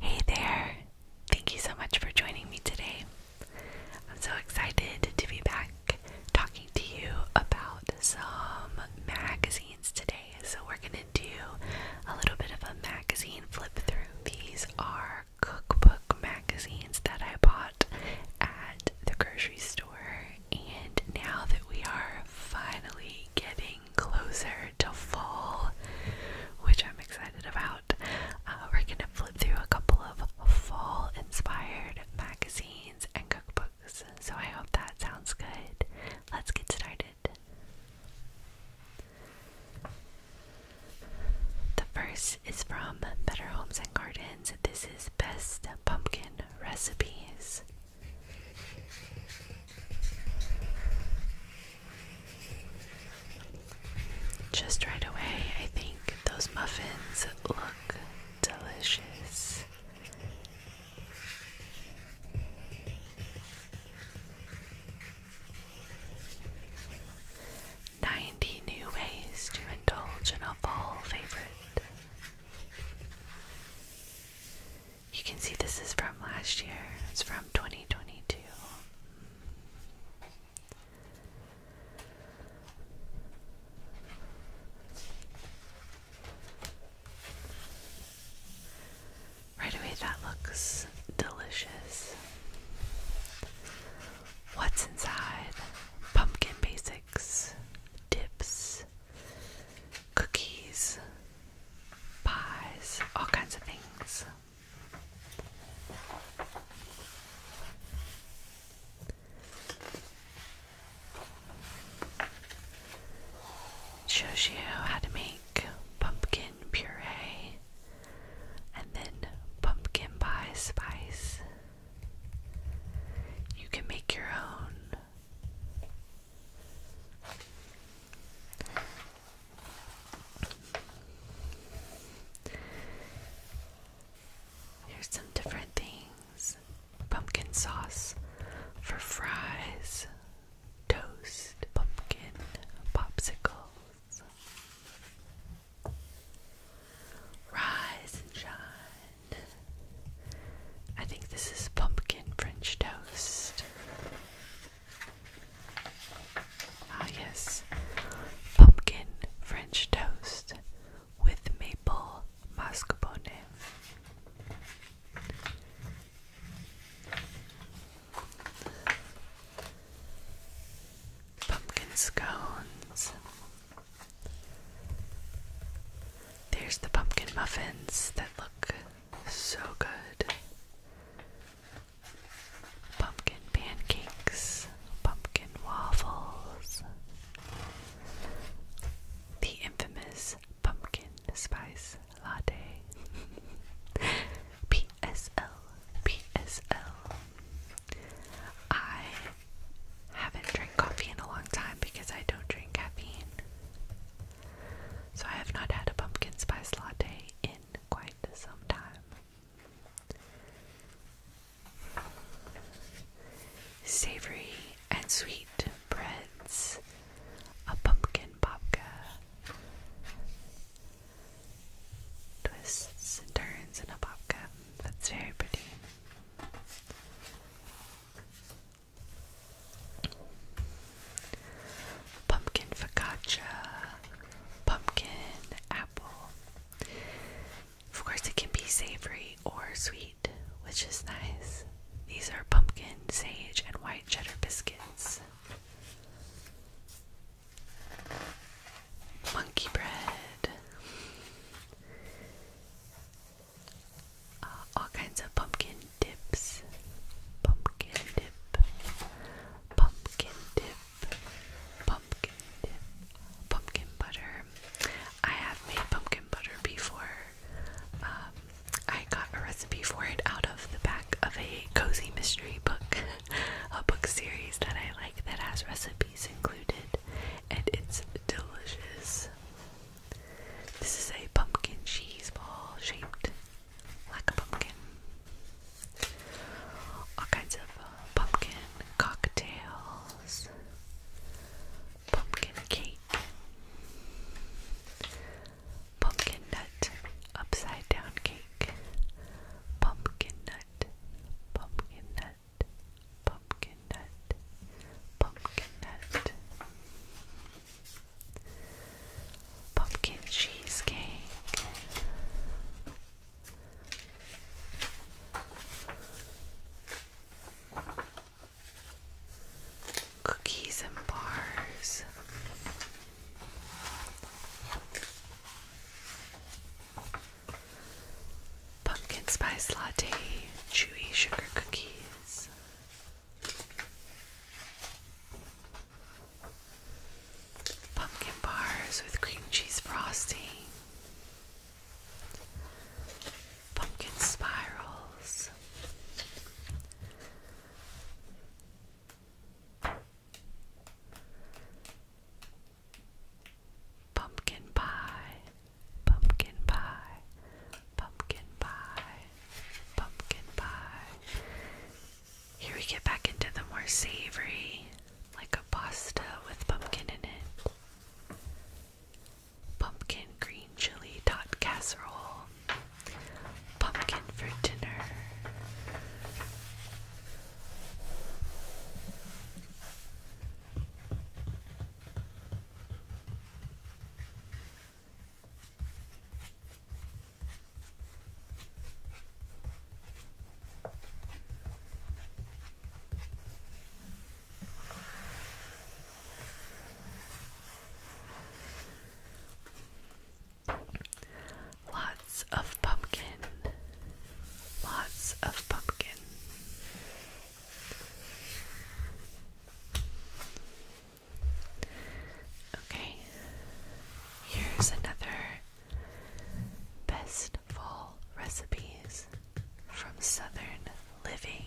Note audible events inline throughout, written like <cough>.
Hey there! Thank you so much for joining me today. I'm so excited to be back talking to you about some magazines today. So, we're going to do a little bit of a magazine flip through. These are cookbook magazines that I bought at the grocery store, and now that we are finally getting closer to fall, which I'm excited about. Uh, we're gonna flip through a couple of fall inspired magazines and cookbooks, so I hope that sounds good. Let's get started. The first is from Better Homes and Gardens. This is Best Pumpkin Recipes. Just right away, I think those muffins look delicious. Ninety new ways to indulge in a fall favorite. You can see this is from last year, it's from 2022. Right away, that looks delicious. What's inside? Pumpkin basics, dips, cookies, pies, all kinds of things. It shows you how to make pumpkin puree and then pumpkin pie spice. You can make your own Here's some different things pumpkin sauce for fries, toast, pumpkin, popsicles, rise and shine. I think this is pumpkin French toast. Ah, yes, pumpkin French toast with maple mascarpone. Pumpkin scones. There's the pumpkin muffins that look so good. Pumpkin pancakes, pumpkin waffles, the infamous pumpkin spice latte. <laughs> PSL, haven't drank coffee in a long time because I don't drink caffeine. So I have not had a pumpkin spice latte in quite some time. Savory and sweet breads, a pumpkin babka, twists and turns in a babka. That's very pretty pumpkin focaccia, pumpkin apple. Of course, it can be savory or sweet, which is nice. These are pumpkin, sage, and white cheddar biscuits. Monkey bread. Uh, all kinds of pumpkin dips, pumpkin dip, pumpkin dip, pumpkin dip, pumpkin butter. I have made pumpkin butter before. Um, I got a recipe for it out of the back of a cozy mystery book, <laughs> a book series that I like that has recipes included, and it's delicious. This is a pumpkin cheese ball shaped like a pumpkin. All kinds of uh, pumpkin cocktails, pumpkin cake, pumpkin nut upside down cake, pumpkin nut, pumpkin nut, pumpkin pumpkin nut, pumpkin nut, pumpkin cheesecake, cookies and bars. Pumpkin spice latte, chewy sugar cookies, Pumpkin bars with cream cheese frosting. Pumpkin spirals. Pumpkin pie pumpkin pie, pumpkin pie, pumpkin pie. Here we get back into the more savory, like a pasta with pumpkin in it. Pumpkin green chili tot casserole. Pumpkin for dinner. Lots of pumpkin, lots of pumpkin. Okay, here's another best fall recipes from Southern Living.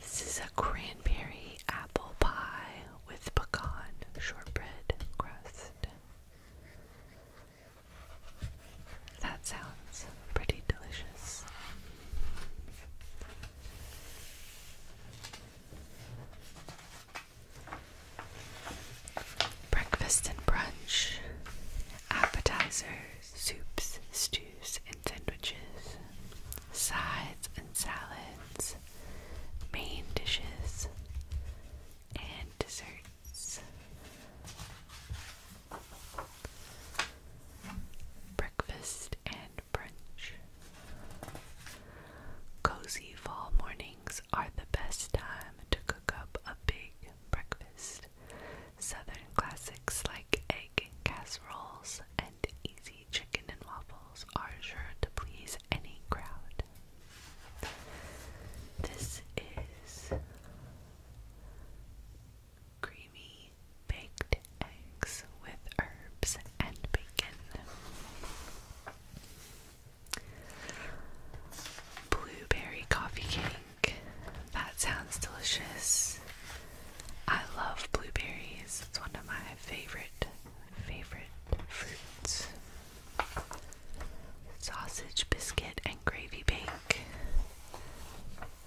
This is a cranberry apple pie with pecan shortbread crust. That sounds pretty delicious. Breakfast and brunch, appetizers, soups, stews, and sandwiches, sides and salads, main dishes, and desserts. Breakfast and brunch. Cozy fall mornings are the best time to cook up a big breakfast. Southern classics like egg casseroles and easy chicken and waffles are sure to please any crowd. This is creamy baked eggs with herbs and bacon. Blueberry coffee cake. That sounds delicious. I love blueberries. It's one of my favorite, favorite fruits. Sausage biscuit and gravy bake.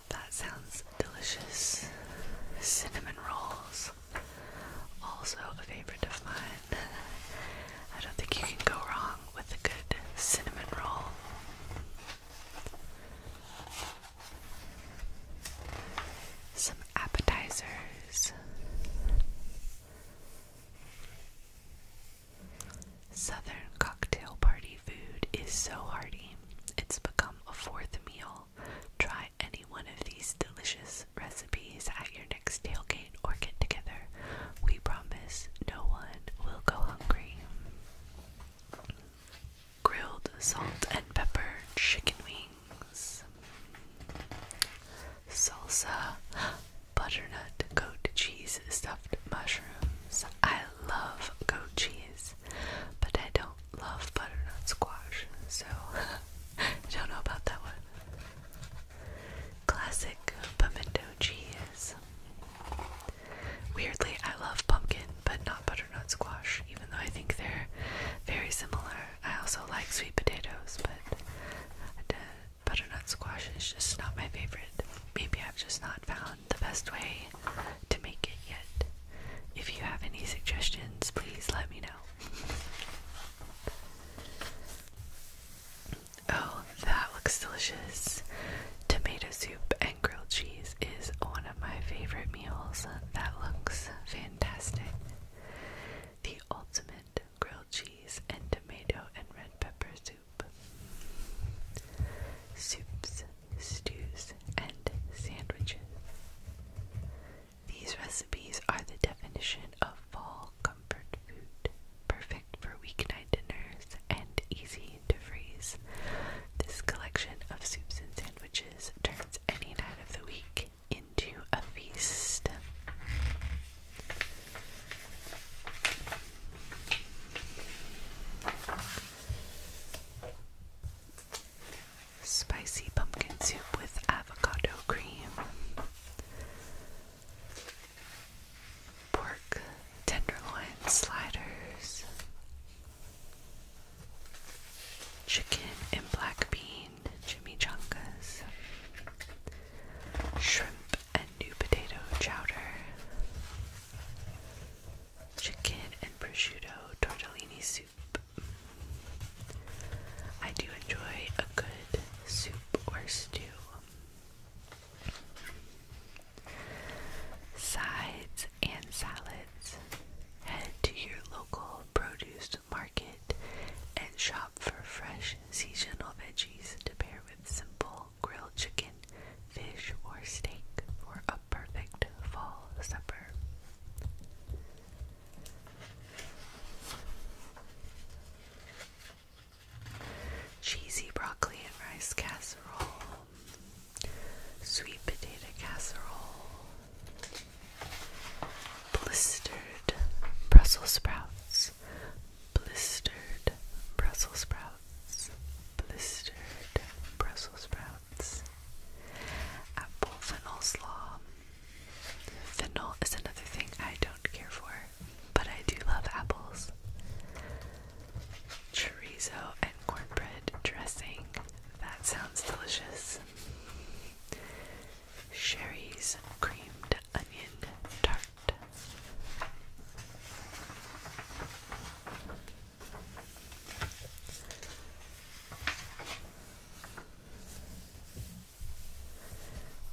That sounds delicious. Cinnamon rolls. Also a favorite of mine. I don't think you can go wrong with a good cinnamon roll. Some appetizers. Southern cocktail party food is so hearty, it's become a fourth meal. Try any one of these delicious recipes at your next tailgate or get together. We promise no one will go hungry. Grilled salt and pepper chicken wings. Salsa butternut goat cheese stuffed mushrooms. I love goat cheese, but I don't love butternut squash, so I <laughs> don't know about that one. Classic pimento cheese. Weirdly, I love pumpkin, but not butternut squash, even though I think they're very similar. I also like sweet potatoes, but butternut squash is just not my favorite. Maybe I've just not found the best way to make it yet. If you have any suggestions, please let me know. Oh, that looks delicious. Tomato soup and grilled cheese is one of my favorite meals. That looks fantastic. The ultimate grilled cheese and tomato and red pepper soup. Soups, stews, and sandwiches. These recipes are the definition of bulk comfort food, perfect for weeknight dinners and easy to freeze. This collection of soups and sandwiches turns any night of the week into a feast. Spicy pumpkin soup with avocado cream pork tenderloin sliders, chicken and black bean chimichangas, shrimp and new potato chowder, chicken and prosciutto tortellini soup. I do enjoy a good soup or stew. Sides and salads. Head to your local produce market and shop for fresh seasonal veggies to pair with simple grilled chicken, fish, or steak for a perfect fall supper cheesy broccoli and rice casserole, sweet potato casserole, blistered Brussels sprouts, blistered Brussels sprouts, blistered Brussels sprouts, apple fennel slaw, Fennel is another thing I don't care for, but I do love apples. Chorizo and cornbread dressing. That sounds delicious. Sherry's creamed onion tart.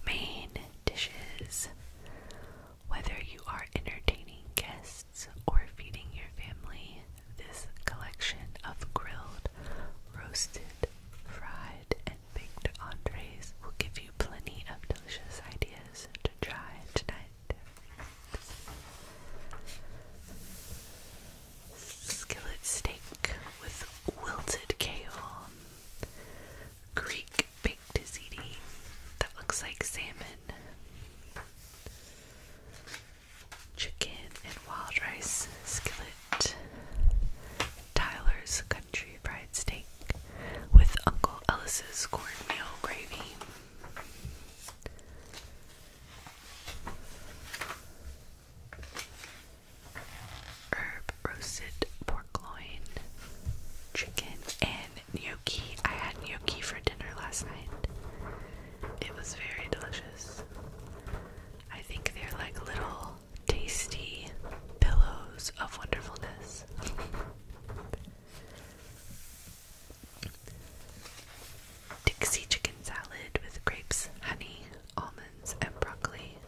Main dishes. Whether you are entertaining guests or feeding your family, this collection of grilled, roasted, fried, and baked entrees will give you plenty of delicious ideas to try tonight. Skillet steak with wilted kale. Greek baked ziti that looks like salmon, chicken and wild rice skillet, Tyler's country fried steak with Uncle Ellis's cornmeal gravy herb roasted pork loin, chicken, and gnocchi. I had gnocchi for dinner last night. It was very delicious. I think they're like little tasty pillows of wonderfulness. <laughs> Dixie chicken salad with grapes, honey, almonds, and broccoli.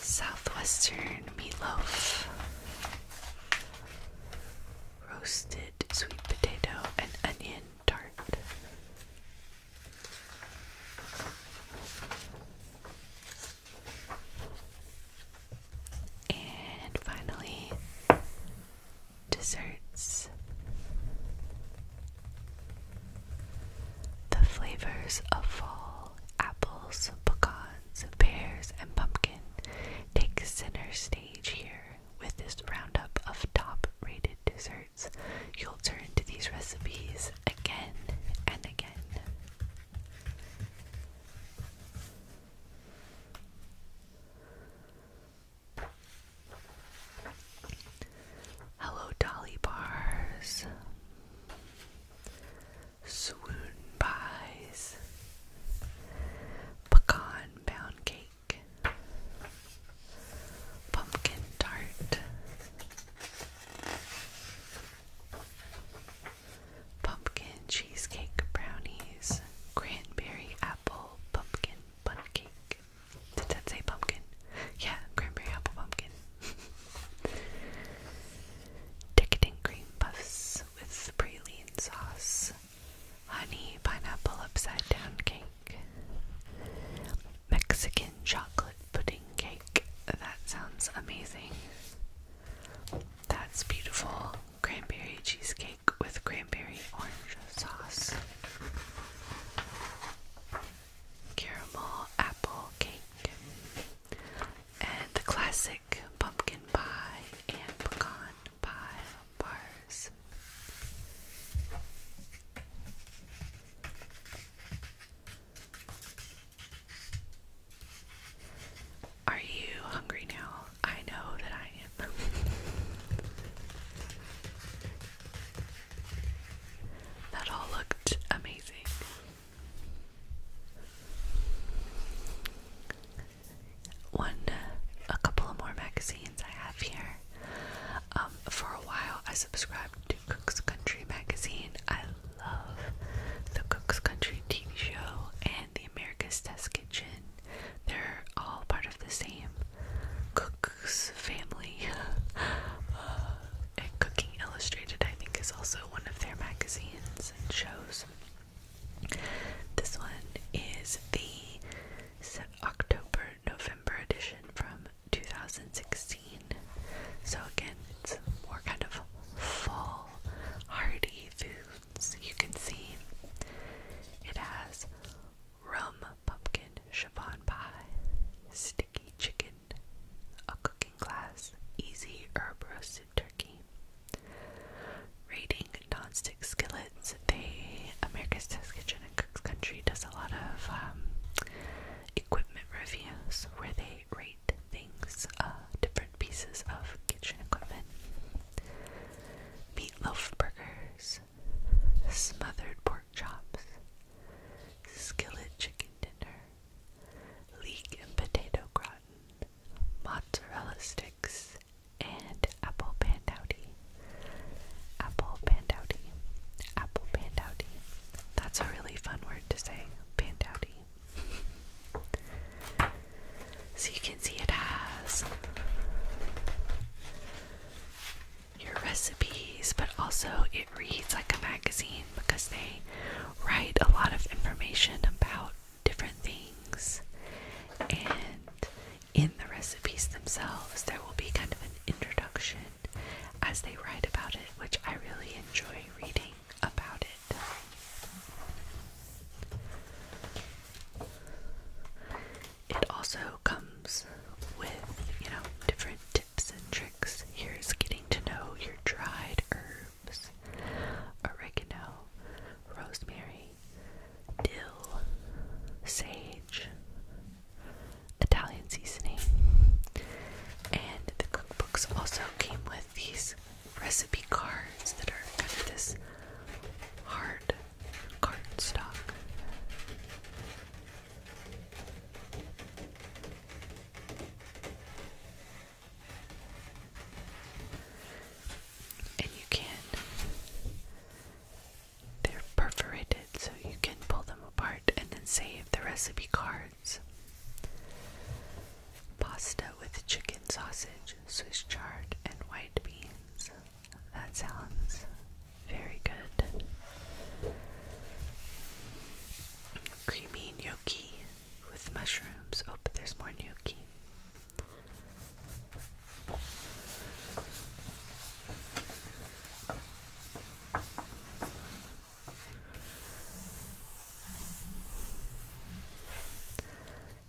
Southwestern meatloaf, roasted sweet potato, and onion tart. And finally, desserts. The flavors of fall apples, pecans, pears, and pumpkin take center stage here. With this roundup of top rated desserts, you'll turn to these recipes again and again. Hello, Dolly Bars, Swoon Pies, Pecan Pound Cake, Pumpkin Tart pumpkin cheesecake brownies, cranberry apple pumpkin bun cake. Did that say pumpkin? Yeah, cranberry apple pumpkin. <laughs> Decadent cream puffs with praline sauce, honey pineapple upside down cake, Mexican chocolate pudding cake. That sounds amazing. That's beautiful cranberry cheesecake with cranberry orange sauce, caramel apple cake, and the classic pumpkin pie and pecan pie bars. Are you hungry now? I know that I am. <laughs> that all looked amazing. One, a couple of more magazines I have here. Um, for a while, I subscribed to Cook's Country magazine. I love the Cook's Country TV show and the America's Test Kitchen. They're all part of the same cook's family. <laughs> Uh, and Cooking Illustrated, I think, is also one of their magazines and shows. This one is the October November edition from 2016. So, again, it's more kind of fall, hearty food so you can see it has rum pumpkin chiffon pie, sticky chicken, a cooking class, easy herb roasted turkey. Rating nonstick skillets, they America's Test Kitchen and Cook's Country does a lot of um, equipment reviews where they rate great things, uh, different pieces of kitchen equipment. Meatloaf burgers, smothered pork chops, skillet chicken dinner, leek and potato gratin, mozzarella sticks, and apple pandowdy. Apple pandouti. Apple pandouti. That's a really fun word to say, pandowdy. So you can see it has your recipes, but also it reads like a magazine because they write a lot of information about different things. And in the recipes themselves, there will be kind of an introduction as they write about it, which I really enjoy reading about it. It also comes with, you know, different tips and tricks. Here's getting to know your dried herbs oregano, rosemary, dill, sage, Italian seasoning. And the cookbooks also came with these recipe cards that are kind of this hard stock, And you can, they're perforated so you can pull them apart and then save the recipe card Pasta with chicken sausage, Swiss chard, and white beans. That sounds very good. Creamy gnocchi with mushrooms. Oh, but there's more gnocchi.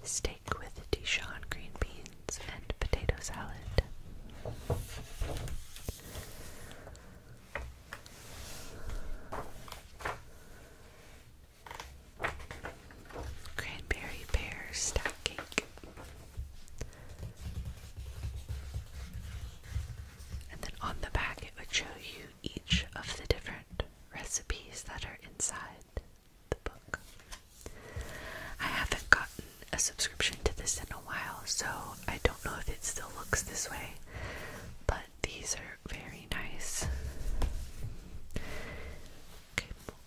Steak with Dijon green beans and potato salad. Cranberry pear stack cake. And then on the back, it would show you each of the different recipes that are inside the book. I haven't gotten a subscription to this in a while, so I don't know if it still looks this way, but these are very nice.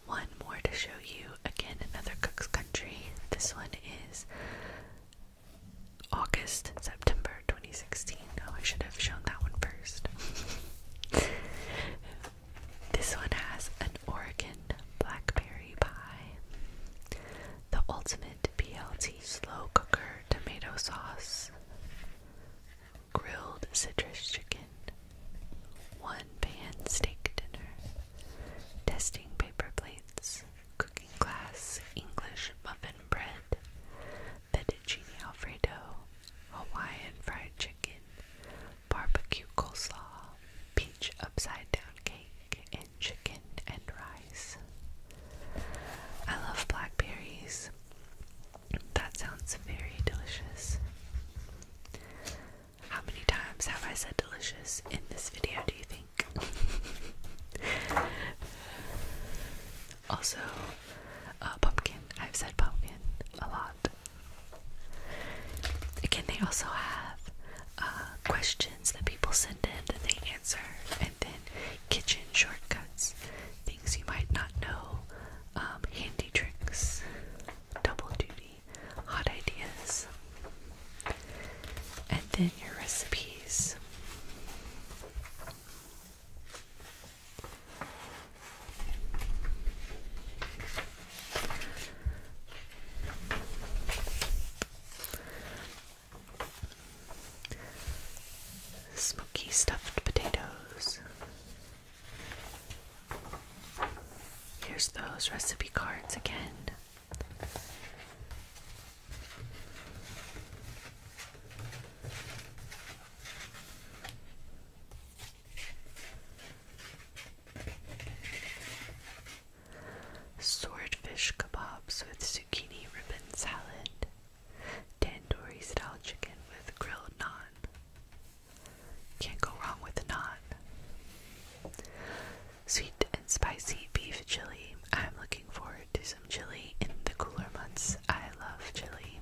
one more to show you. Again, another Cook's Country. This one is August, September 2016. Oh, I should have shown that one first. <laughs> this one has an Oregon blackberry pie, the ultimate BLT slow cooker tomato sauce, grilled citrus chicken, one pan steak dinner, testing paper plates, cooking glass English muffin bread, fettuccine alfredo, Hawaiian fried chicken, barbecue coleslaw, peach upside down cake, and chicken and rice. I love blackberries. That sounds very delicious. How many times have I said delicious in this video, do you think? <laughs> also, uh, pumpkin. I've said pumpkin a lot. Again, they also have uh, questions that people send in that they answer, and then kitchen shortcuts, things you might not know, um, handy tricks, double duty, hot ideas, and then your recipes. Smoky stuffed potatoes. Here's those recipe cards again. Swordfish kebabs with zucchini ribbon salad. Tandoori style chicken with grilled naan. Can't go wrong with naan. Sweet and spicy beef chili. I'm looking forward to chili in the cooler months. I love chili.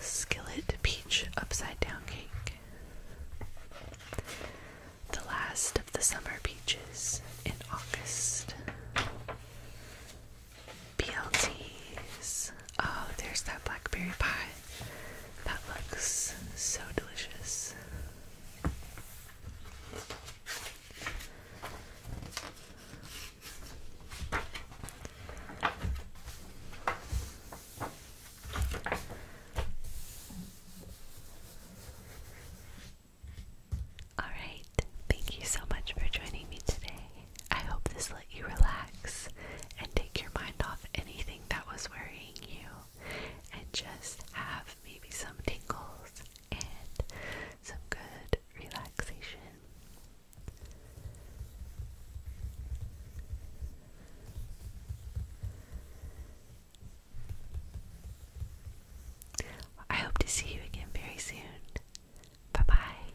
Skillet peach upside down cake. The last of the summer peaches in August. BLTs. Oh, there's that blackberry pie that looks so delicious. All right, thank you so much for joining me today. I hope this let you relax and take your mind off anything that was worrying you and just have maybe some tingles and some good relaxation. I hope to see you again very soon. Bye bye.